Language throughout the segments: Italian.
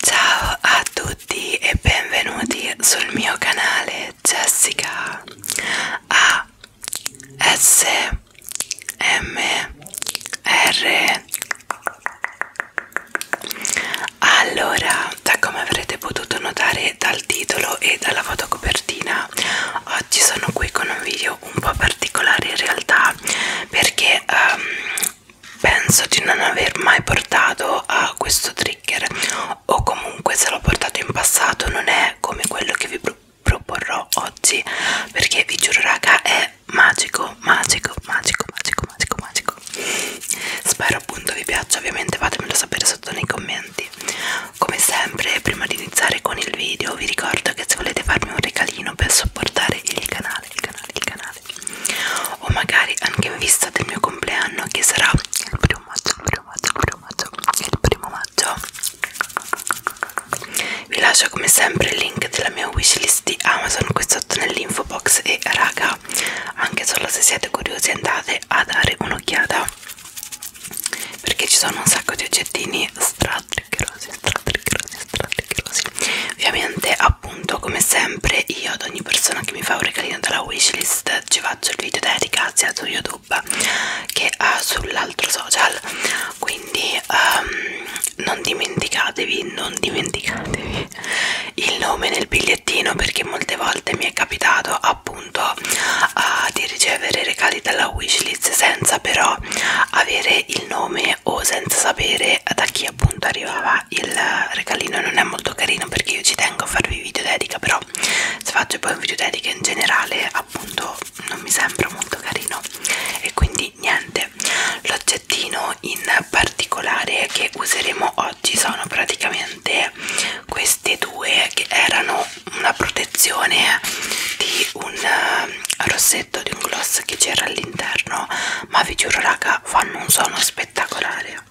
Ciao a tutti e benvenuti sul mio canale Jessica A S M R Allora, da come avrete potuto notare come dal titolo e dalla fotocopertina oggi ah, sono qui con un video un po' particolare in realtà perché um, penso di non aver mai portato a questo trigger o comunque se l'ho portato in passato non è come quello che vi pro proporrò oggi perché vi giuro raga è magico magico magico magico magico magico spero appunto vi piaccia ovviamente fatemelo sapere sotto nei commenti quindi come sempre prima di iniziare con il video vi ricordo che se volete farmi un regalino per supportare il canale il canale il canale o magari anche in vista del mio compleanno che sarà il primo maggio il primo maggio il primo maggio il primo maggio vi lascio come sempre il link della mia wishlist di Amazon qui sotto nell'info box e raga anche solo se siete curiosi andate andate a dare un'occhiata perché ci sono un sacco di oggettini stratriccherosi, stratriccherosi, stratriccherosi ovviamente appunto come sempre io ad ogni persona che mi fa un regalino dalla wishlist ci faccio il video dedicato sia su youtube che sull'altro social quindi um, non dimenticatevi non dimenticatevi il nome nel bigliettino perché molte volte mi è capitato appunto uh, di ricevere regali dalla wishlist senza però avere il nome o senza sapere da chi appunto arrivava il regalino non è molto carino perché io ci tengo a farvi video dedica però se faccio poi un video dedica in generale appunto non mi sembra molto carino e quindi niente l'oggettino in particolare che useremo oggi sono praticamente queste due che erano una protezione di un eh, rossetto di un gloss che c'era all'interno ma vi giuro raga fanno un suono spettacolare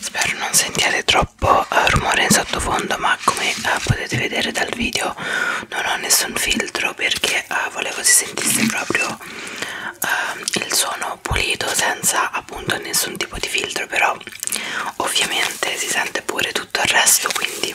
Spero non sentiate troppo uh, rumore in sottofondo, ma come uh, potete vedere dal video non ho nessun filtro perché uh, volevo si sentisse proprio uh, il suono pulito senza appunto nessun tipo di filtro, però ovviamente si sente pure tutto il resto quindi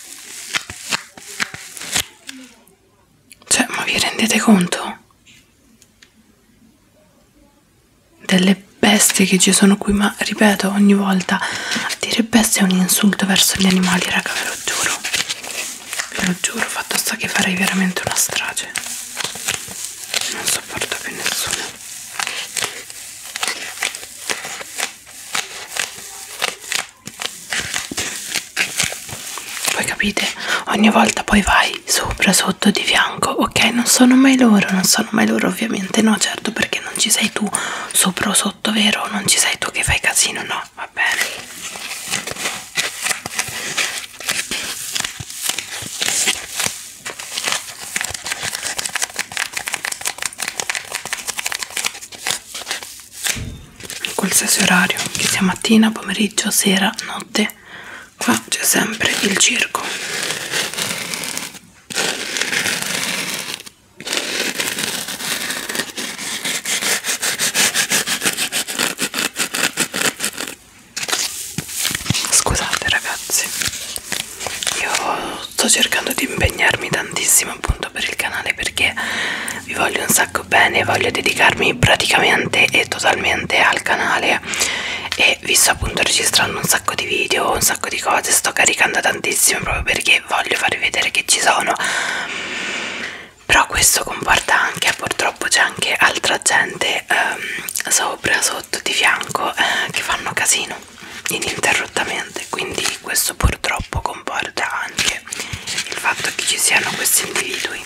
Cioè, ma vi rendete conto? Delle bestie che ci sono qui, ma ripeto ogni volta, dire bestia è un insulto verso gli animali, raga, ve lo giuro. Ve lo giuro, fatto sta che farei veramente una strage. Non sopporto più nessuno. Poi capite, ogni volta poi vai sopra, sotto, di fianco, ok? Non sono mai loro, non sono mai loro ovviamente, no certo perché non ci sei tu sopra o sotto, vero? Non ci sei tu che fai casino, no? Va bene qualsiasi orario che sia mattina, pomeriggio, sera, notte qua c'è sempre il circo scusate ragazzi io sto cercando di impegnarmi tantissimo appunto per il canale perché vi voglio un sacco bene voglio dedicarmi praticamente e totalmente al canale e vi sto appunto registrando un sacco di video un sacco di cose sto caricando tantissimo proprio perché voglio farvi vedere che ci sono però questo comporta anche purtroppo c'è anche altra gente ehm, sopra sotto di fianco eh, che fanno casino ininterrottamente quindi questo purtroppo comporta anche il fatto che ci siano questi individui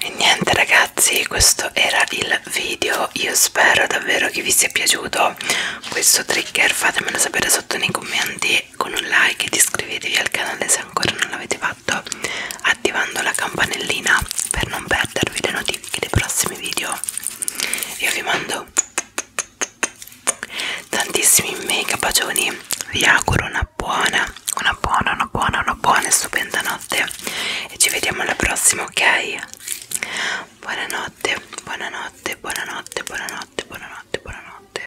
E niente ragazzi, questo era il video. Io spero davvero che vi sia piaciuto questo trigger. Fatemelo sapere sotto nei commenti con un like ed iscrivetevi al canale se ancora non l'avete fatto sotto attivando la campanellina per non perdervi le notifiche dei prossimi video io vi mando tantissimi mega bacioni vi auguro una buona una buona una buona una buona e stupenda notte e ci vediamo alla prossima ok buonanotte buonanotte buonanotte buonanotte buonanotte buonanotte buonanotte